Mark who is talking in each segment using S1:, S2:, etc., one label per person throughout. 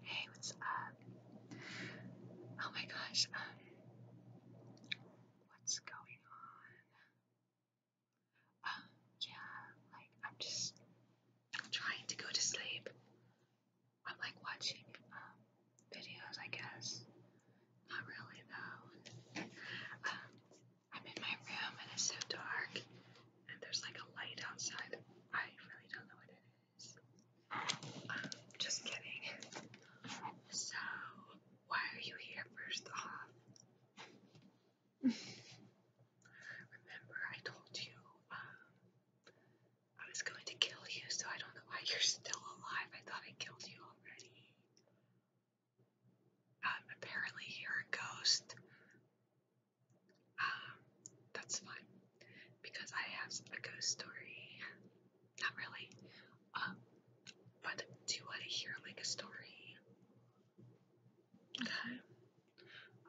S1: Hey, what's up? Oh my gosh, um, what's going on? Um, yeah, like I'm just trying to go to sleep. I'm like watching um videos, I guess. Not really though. Um, I'm in my room and it's so dark, and there's like a light outside. I really don't know what it is. Um, just kidding. So, why are you here first off? Remember, I told you um, I was going to kill you, so I don't know why you're still alive. I thought I killed you already. Um, apparently, you're a ghost. Um, that's fine because I have a ghost story. Not really. Um, but do you want to hear like a story? Okay.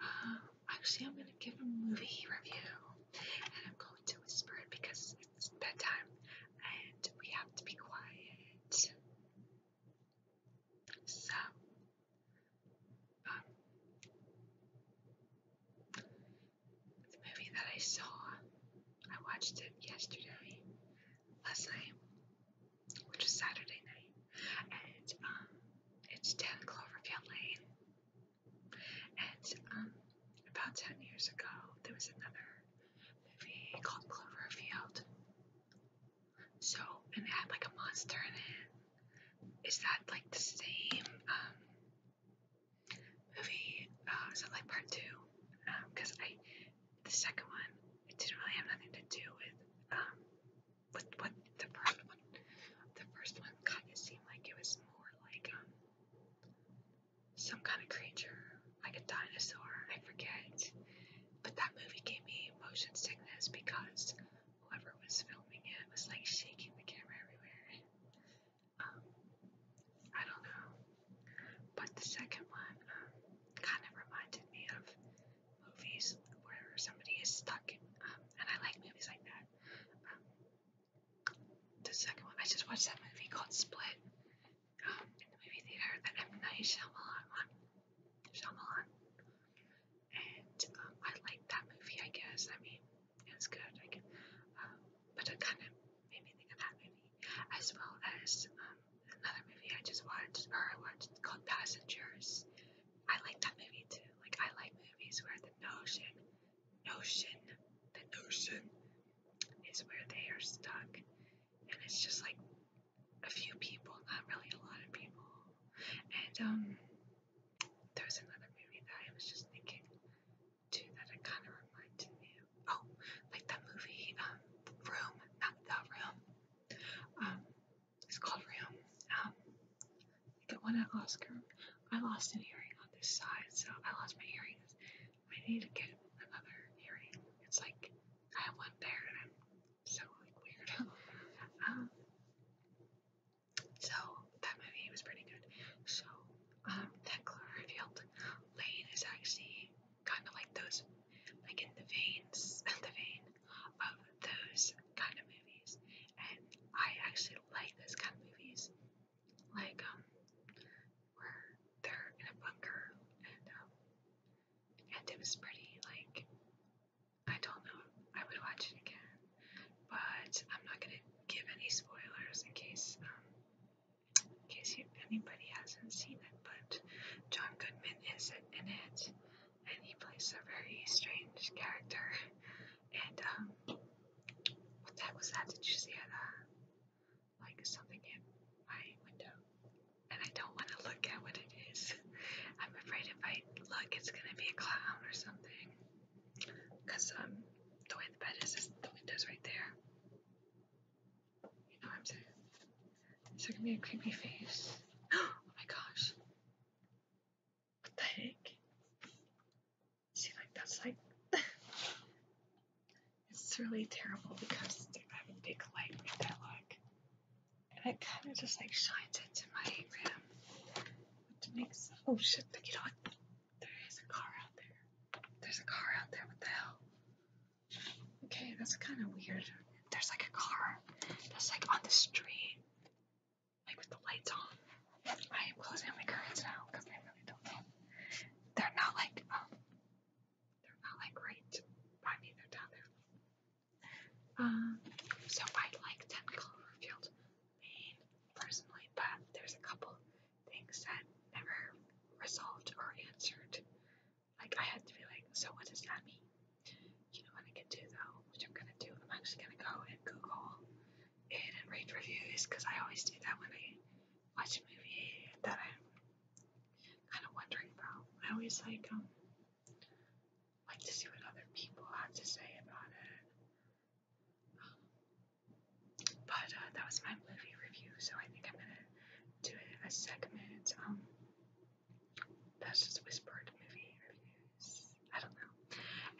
S1: Um, actually, I'm gonna give a movie review, and I'm going to whisper it because it's bedtime and we have to be quiet. So, The movie that I saw, I watched it yesterday, last night, which was Saturday night, and um, it's 10 Cloverfield Lane. And um, about 10 years ago, there was another movie called Cloverfield, so, and it had like a monster in it. Is that like the same um, movie? Uh, is it like part two? Because um, I, the second one, it didn't really have nothing to do with um, with what the first one. The first one kind of seemed like it was more like um, some kind of creature, like a dinosaur. I forget. But that movie gave me motion sickness because whoever was filming it was like shaking the camera everywhere. Um, I don't know. But the second one um, kind of reminded me of movies where somebody is stuck, um, and I like movies like that. the second one, I just watched that movie called Split in the movie theater, that M. Night Shyamalan one. Shyamalan, and um, I liked that movie. I guess I mean it was good. I can, um, but it kind of made me think of that movie, as well as um, another movie I just watched or I watched called Passengers. I like that movie too. Like I like movies where the notion, notion, the notion is where they are stuck, and it's just like a few people, not really a lot of people. And um, there's another movie that I was just thinking too that it kind of reminded me Oh, like that movie, um, Room, not The Room. Um, it's called Room. Um, it won an Oscar. I lost an earring on this side, so I lost my earrings. I need to get another earring. It's like I have one there and i so like weird. um, so that movie was pretty good. So um, that Cloverfield Lane is actually kind of like those, like in the veins, the vein of those kind of movies. And I actually like those kind of movies, like um, where they're in a bunker and um, and it was pretty like I don't know. I would watch it again, but I'm not gonna give any spoilers in case um, in case you, anybody hasn't seen it. But John Goodman is in it, and he plays a very strange character. And um, what that was that? Did you see it? Uh, like something in my window and I don't want to look at what it is. I'm afraid if I look, it's gonna be a clown or something. Cause um, the way the bed is, is the window's right there. You know what I'm saying? It's gonna be a creepy face? Oh my gosh! What the heck? See, like that's like. it's really terrible because I have a big light right there. like and it kind of just like shines into my room, which makes oh shit! Look at that! There is a car out there. There's a car out there. What the hell? Okay, that's kind of weird. There's like a car that's like on the street, like with the lights on. I am closing my curtains now because I really don't know. They're not like um, they're not like right by me. down there um, so I like Technicolor Revealed Maine personally, but there's a couple things that never resolved or answered. Like I had to be like, so what does that mean? You know what I can do though, which I'm gonna do. I'm actually gonna go and Google it and read reviews because I always do that when I watch a movie that I'm kind of wondering about. I always like um like to see what other people have to say about it. Um, but uh, that was my movie review, so I think I'm gonna do it as segment. Um, that's just whispered movie reviews. I don't know.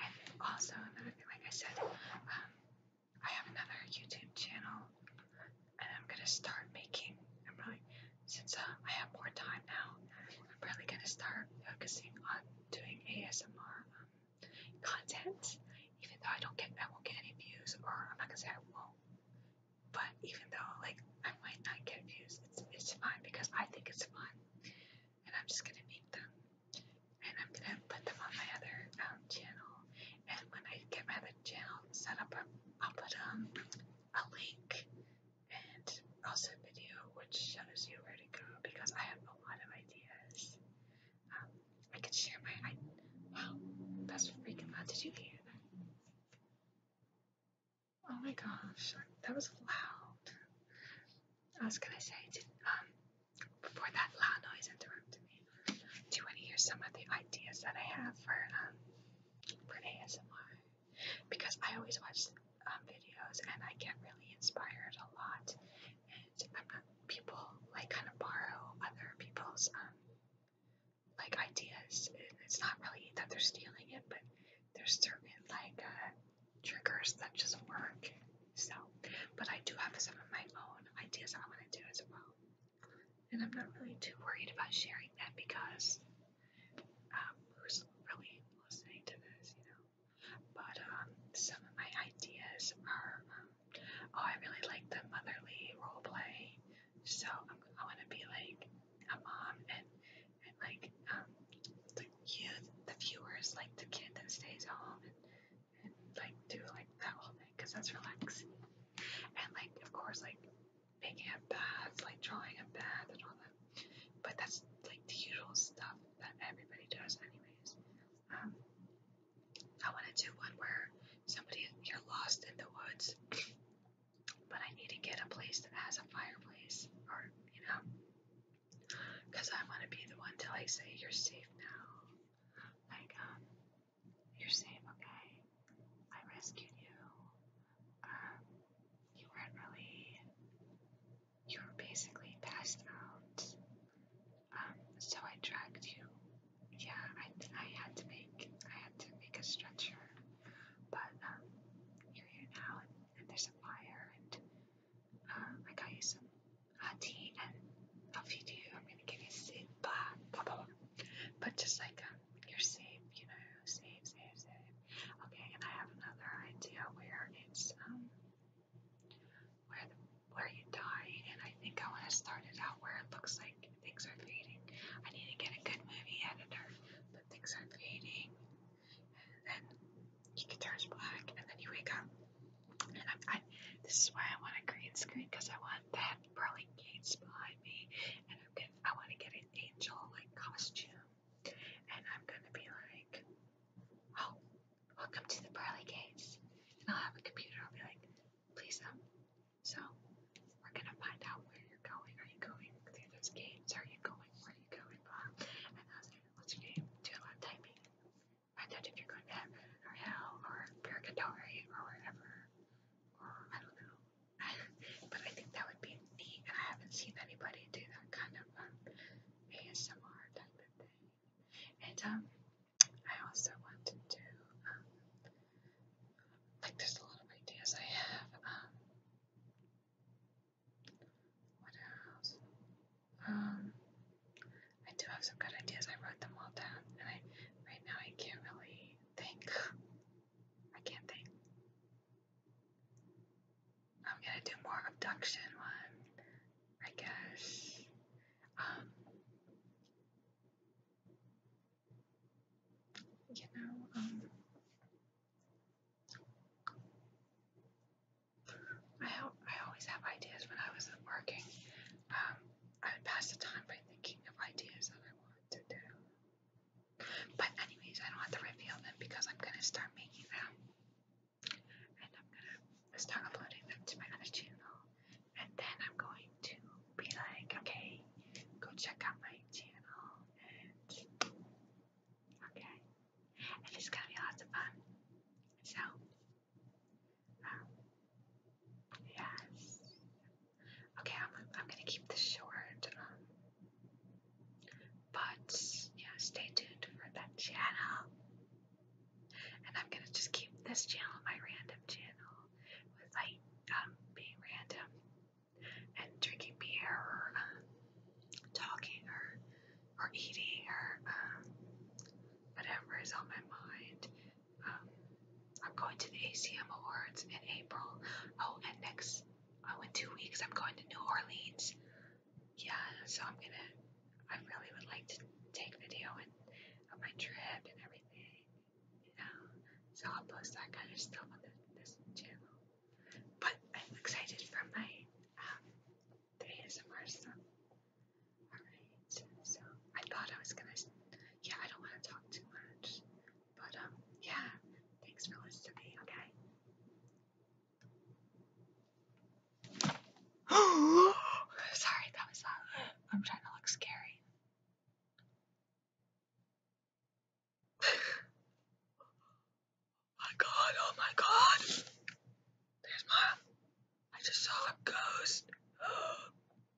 S1: And also another thing, like I said, um, I have another YouTube channel and I'm gonna start making. i since uh, I have more time now, I'm really gonna start focusing on doing ASMR um, content. Even though I don't get, I won't get any views, or I'm not gonna say I won't. But even though like I might not get views, it's it's fine because I think it's fun, and I'm just gonna make them, and I'm gonna put them on my other um, channel. And when I get my other channel set up, I'll put um a link and also a video which shows you where to go because I have a lot of ideas. Um, I could share my I wow, that's freaking loud. Did you hear that? Oh my gosh, that was loud. I was gonna say, um, before that loud noise interrupted me, do you want to hear some of the ideas that I have for um for ASMR? because I always watch um, videos and I get really inspired a lot. And I'm not, people like kind of borrow other people's um, like ideas. It's not really that they're stealing it, but there's certain like uh, triggers that just work. So, but I do have some of my own ideas I want to do as well and I'm not really too worried about sharing that because um, who's really listening to this, you know? But um, some of my ideas are um, oh, I really like the motherly role play, so I'm, I want to be like a mom and and like um, the youth, the viewers, like the kid that stays home and, and like do like that whole thing because that's relaxing. And like of course like making a bath, like drawing a bath and all that. But that's like the usual stuff that everybody does, anyways. Um, I want to do one where somebody you're lost in the woods, but I need to get a place that has a fireplace, or you know, because I want to be the one to like say you're safe now. Like, um, you're safe, okay? I rescued you. Um, you weren't really. You were basically passed out. Um, so I dragged you. Yeah, I I had to make I had to make a stretcher, but um, you're here now, and, there's a fire, and um, I got you some hot tea, and if you do, I'm gonna give you sleep, blah blah blah. But just like um, you're safe, you know, safe, safe, safe. Okay, and I have another idea where it's um where the, where you die, and I think I want to start it out where it looks like things are fading. I need to get a good movie editor, but things are fading, and then it turns black, and then you wake up. And I'm, I, this is why I want a green screen because I want that pearly gates behind me, and get, I want to get an angel like costume, and I'm gonna be like, oh, welcome to the pearly gates, and I'll have a computer. I'll be like, please, um, so we're gonna find out where you're going. Are you going through those gates? Are you going? Where are you going? Blah. And I was like, what's your name? Do a lot of typing. Find out if you're going to heaven or hell or purgatory or wherever, or I don't know but I think that would be neat, and I haven't seen anybody do that kind of um, ASMR type of thing. And um, I also want to do um, like there's a lot of ideas I have. Um, what else? Um, I do have some good ideas. I wrote them all down, and I right now I can't really think. I can't think. I'm gonna do more abduction one, I guess. Um, you know, um, I I always have ideas when I was working. Um, I would pass the time by thinking of ideas that I want to do. But anyways, I don't have to reveal them because I'm gonna start making them. And I'm gonna start uploading them to my other channel. And then I'm going to be like, okay, go check out my channel. And okay. And it's gonna be lots of fun. So um, Okay, I'm, I'm gonna keep this short, um, but yeah, stay tuned for that channel. And I'm gonna just keep this channel my random channel with like um, being random and drinking beer or um, talking or or eating or um, whatever is on my mind. Um, I'm going to the ACM Awards in April. Oh, and next, oh, in two weeks, I'm going to New Orleans. Yeah, so I'm gonna, I really would like to take video and, of my trip and everything, you know. So I'll post that kind of stuff on the, this channel. But I'm excited for my, um, the ASMR stuff. Alright, so I thought I was gonna yeah, I don't want to talk too much. But um, yeah, thanks for listening, okay? Sorry, that was that. Uh, I'm trying to look scary. my god, oh my god! There's my. I just saw a ghost.